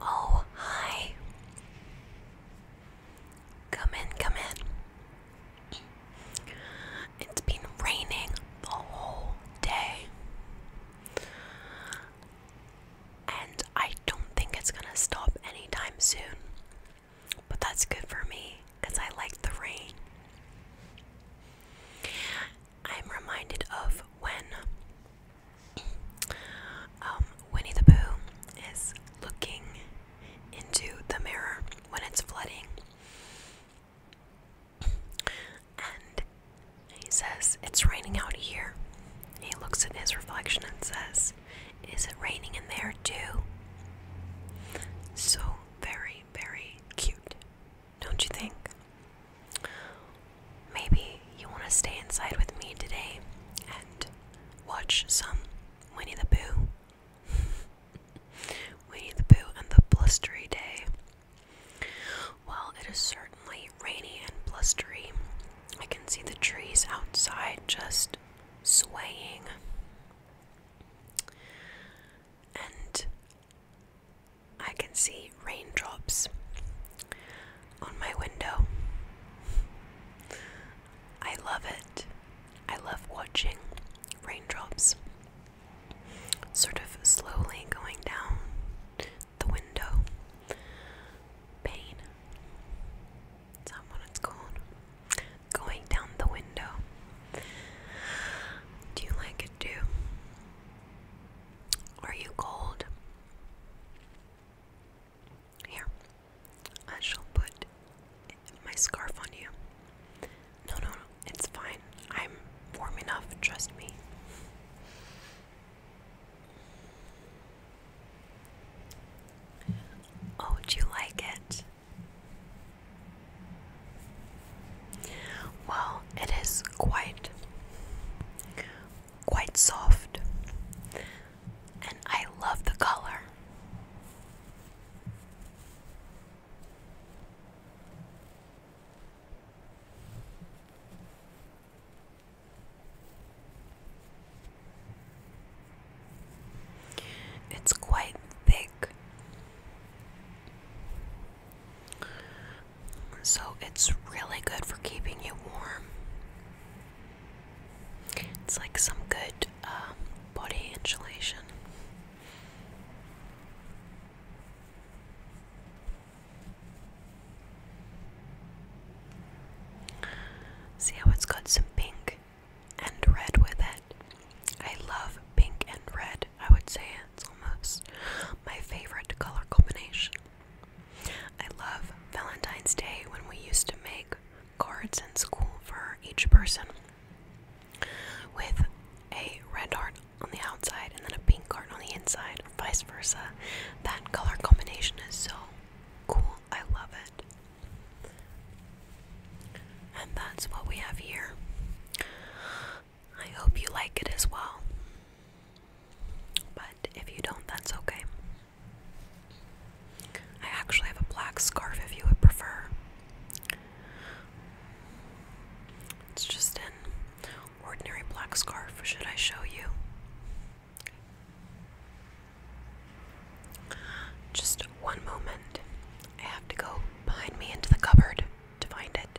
Oh, hi. Come in, come in. It's been raining the whole day. And I don't think it's gonna stop anytime soon. But that's good for me because I like the rain. I'm reminded of when um, Winnie the Pooh is looking into the mirror when it's flooding. And he says, It's raining out here. He looks at his reflection and says, Is it raining in there too? So very, very cute don't you think? Maybe you want to stay inside with me today and watch some Winnie the Pooh. Winnie the Pooh and the Blustery Day. Well, it is certainly rainy and blustery. I can see the trees outside just swaying. And I can see raindrops on my window. I love it. I love watching raindrops sort of slowly going down the window. Pain. Is that what it's called? Going down the window. Do you like it too? Are you cold? Here, I shall put my scarf on you. No, no, no, it's fine. I'm warm enough, trust me. Oh, do you like it? Well, it is quite quite soft, and I love the color. It's quite thick. So it's really good for keeping you warm. It's like some good um, body insulation. See how it's got some pink and red with it? I love pink and red. I would say it's almost my favorite color combination. I love Valentine's Day when we used to make cards in school for each person with a red heart on the outside and then a pink heart on the inside, or vice versa. That color combination is so cool. I love it. And that's what we have here. I hope you like it as well. But if you don't, that's okay. I actually have a black scarf if you would prefer. It's just an ordinary black scarf. Should I show you? Just one moment. I have to go behind me into the cupboard to find it.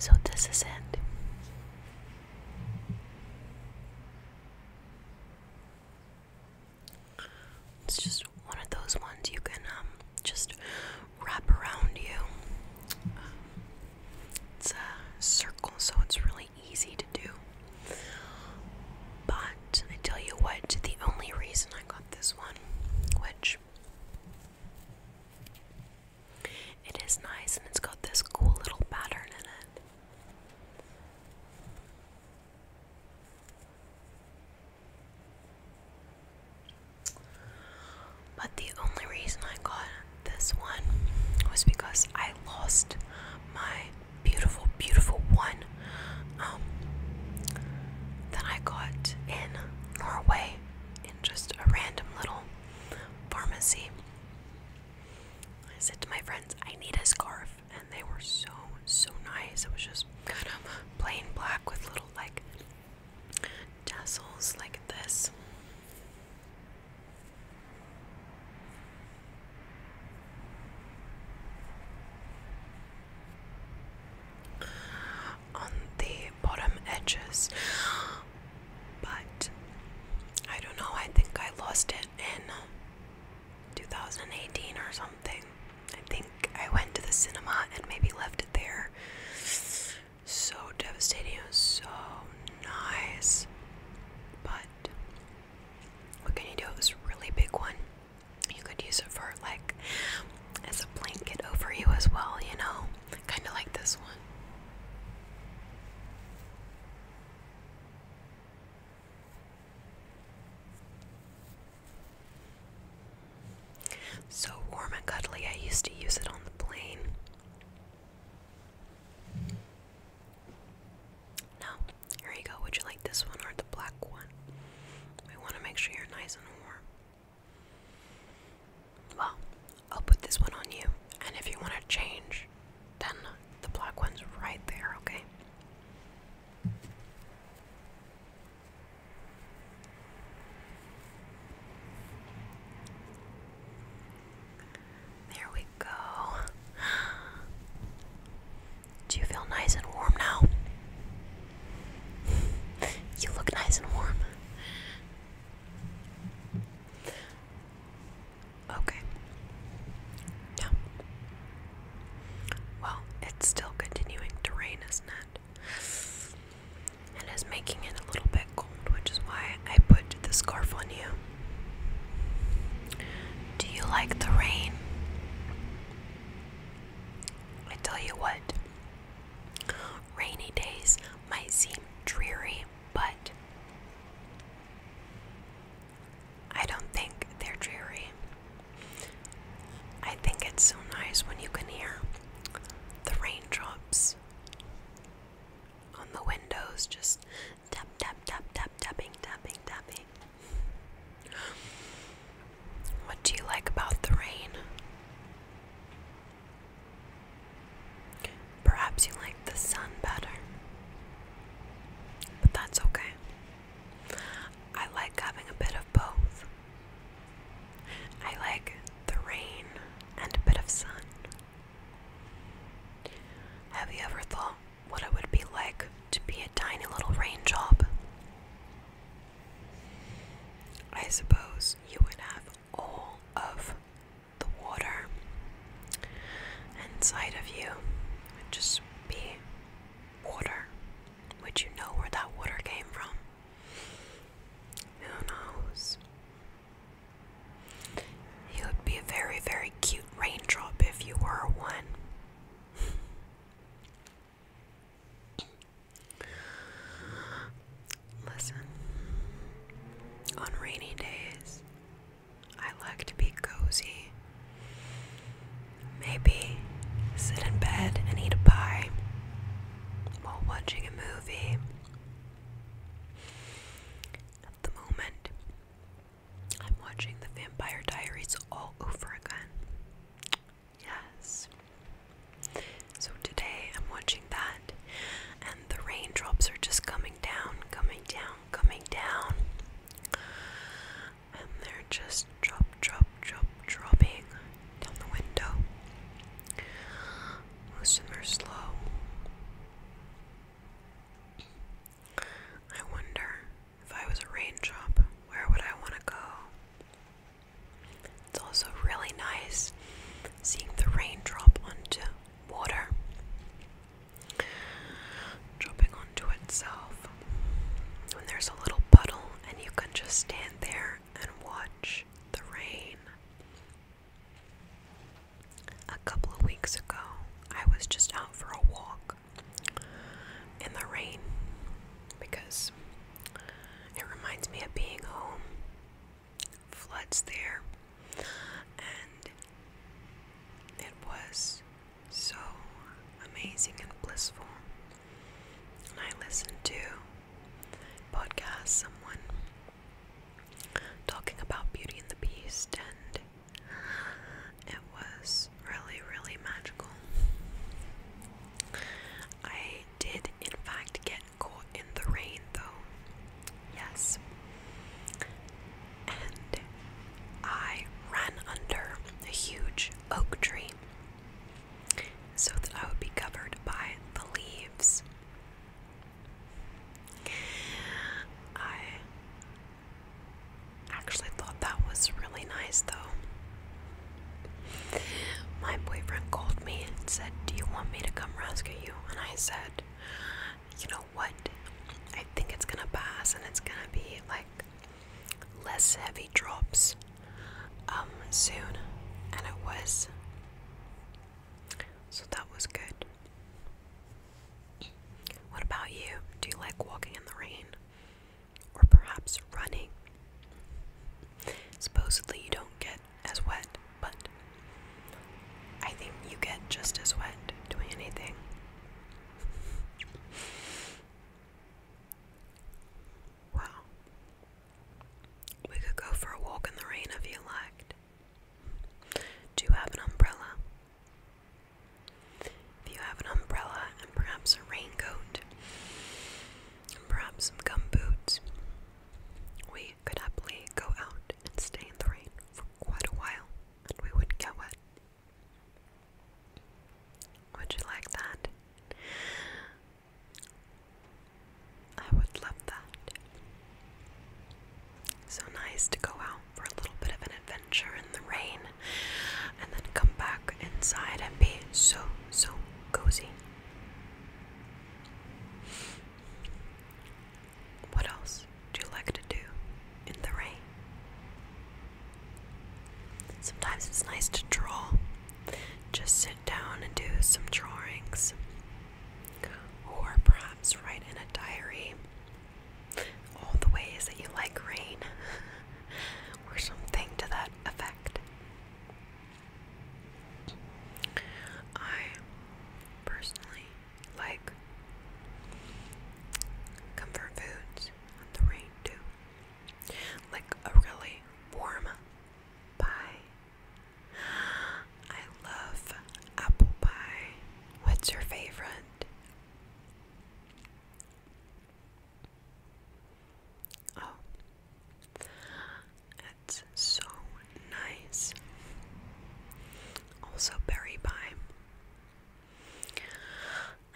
So this is it. It's just one of those ones you can um, just wrap around you. it's a circle, so it's really easy do. But I tell you what, the only reason I got this one, which it is nice and it's got this cool little pattern in it. But the only reason I got this one was because I lost my beautiful, beautiful one um, that I got in Norway in just a random little pharmacy. I said to my friends, I need a scarf, and they were so, so nice. It was just kind of plain black with little like tassels like this on the bottom edges, but I don't know. I think I lost it in 2018 or something. I think I went to the cinema and maybe left it there. So devastating, it was so nice, but what can you do? It was a really big one. You could use it for like as a blanket over you as well, you know? Kind of like this one. So warm and cuddly, I used to use it on the plane. No. Here you go. Would you like this one or the black one? We want to make sure you're nice and warm. Well, I'll put this one on you, and if you want to change, then the black one's right there, okay? There we go. Do you feel nice and warm now? you look nice and warm. Okay. Yeah. Well, it's still continuing to rain, is And it's making it a little bit cold, which is why I put the scarf on you. Do you like the rain? I tell you what, rainy days might seem dreary, but I don't think they're dreary. I think it's so nice when you can hear the raindrops on the windows just Tap, tap, tap, tap, tapping, tapping, tapping. What do you like about the rain? Perhaps you like the sun better. But that's okay. I like having a bit of both. I like the rain and a bit of sun. Have you ever thought what it would be like to be a tiny little rain I suppose you would have all of the water inside of you would just be water. Would you know where that water came from? Who knows? You would be a very, very cute raindrop if you were one. Listen, on rainy days, I like to be cozy. Maybe sit in bed and eat a pie while watching a movie. At the moment, I'm watching The Vampire Diaries all over again. Yes. So today I'm watching that, and the raindrops are just coming down, coming down, coming down. And they're just drop, drop, drop, dropping down the window. Most slow. I wonder if I was a raindrop, where would I want to go? It's also really nice seeing the raindrop onto water, dropping onto itself. When there's a little puddle and you can just stand there and watch the rain. A couple of weeks ago, I was just out for a walk in the rain because it reminds me of being home. Floods there, and it was so amazing and blissful. And I listened to podcast someone talking about Beauty and the Beast and it was really, really magical. I did, in fact, get caught in the rain though. Yes. And I ran under a huge oak tree so that I would be covered by the leaves. I Actually, thought that was really nice though. My boyfriend called me and said, Do you want me to come rescue you? And I said, You know what? I think it's gonna pass and it's gonna be like less heavy drops um, soon. And it was. So that was good. What about you? Do you like walking in the rain? Or perhaps running? Supposedly you don't get as wet, but I think you get just as wet doing anything. Wow. We could go for a walk in the rain if you liked. Do you have an umbrella? If you have an umbrella and perhaps a raincoat, and perhaps some gum we could happily go out and stay in the rain for quite a while and we wouldn't get wet. Would you like that? I would love that. So nice to go out for a little bit of an adventure in the rain and then come back inside and be so, so cozy. What else do you like to do in the rain? Sometimes it's nice to draw. Just sit down and do some drawings, or perhaps write in a diary all the ways that you like rain, or something to that effect. I personally like comfort foods on the rain too, like a really warm pie. I love apple pie. What's your favorite? Oh, it's so nice. Also, berry pie.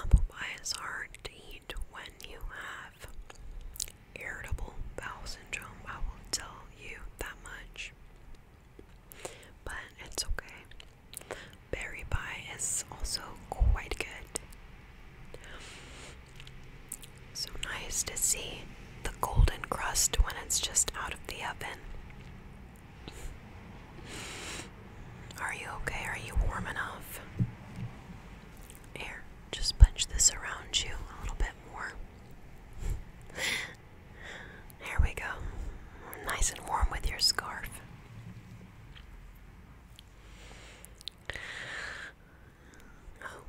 Apple pie is to eat when you have irritable bowel syndrome. I will tell you that much but it's okay. Berry pie is also quite good. So nice to see the golden crust when it's just out of the oven. Are you okay? Are you warm enough? Here, just punch this around you a little bit more. There we go. Nice and warm with your scarf. Oh.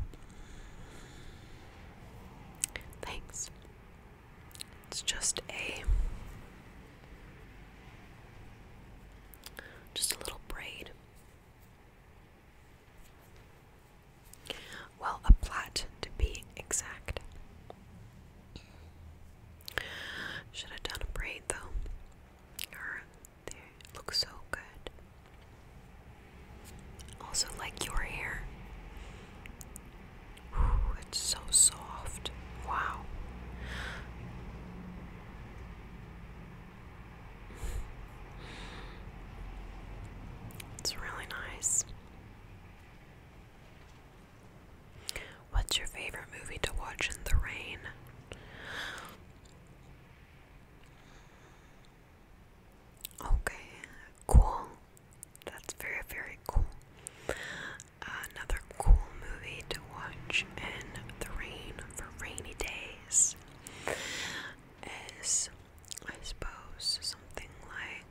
Thanks. It's just a just a little braid. Well, a plait to be exact. Should have done a braid though. Or they look so good. Also like your hair. Ooh, it's so soft. Wow. It's really nice. What's your favorite movie to watch in the rain? Okay, cool. That's very, very cool. Another cool movie to watch in the rain for rainy days is, I suppose, something like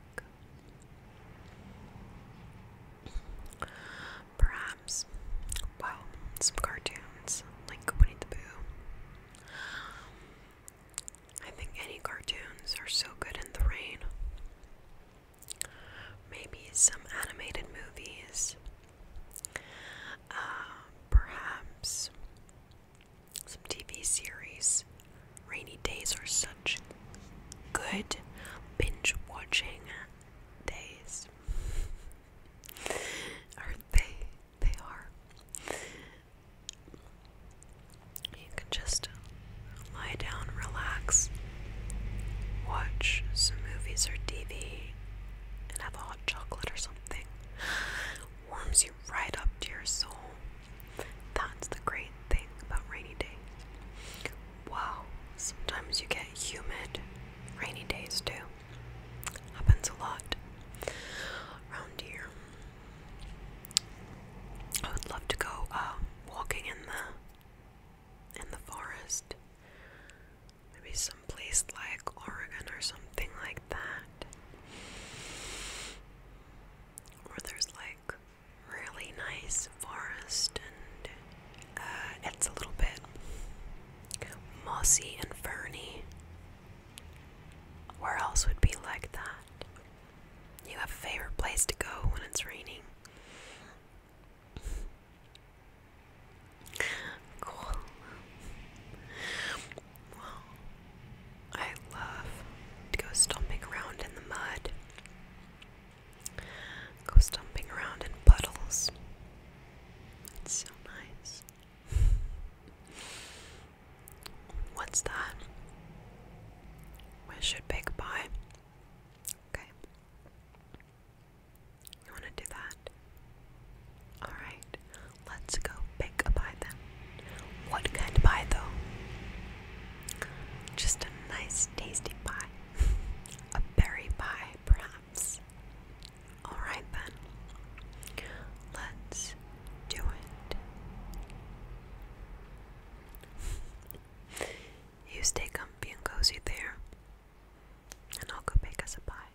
Perhaps, well, some cartoons like Winnie the Pooh. I think any cartoons are so good in the rain. Maybe some animated movies. Uh, perhaps some TV series. Rainy days are so good binge watching days. or they they are. You can just lie down, relax, watch some movies or TV, and have a hot chocolate or something. Warms you right up to your soul. That's the great thing about rainy day wow, sometimes you get humid, rainy days too. Happens a lot around here. I would love to go uh, walking in the in the forest. Maybe someplace like Oregon or something like that. Where there's like really nice forest, and uh, it's a little bit mossy and ferny. Where else would be like that? You have a favorite place to go when it's raining. Cool. Well, I love to go stomping around in the mud. Go stomping around in puddles. It's so nice. What's that? Where should Big buy? Okay. You want to do that? Alright. Let's go pick a pie then. What kind of pie though? Just a nice tasty pie. A berry pie, perhaps. Alright then. Let's do it. You stay comfy and cozy there, and I'll go bake us a pie.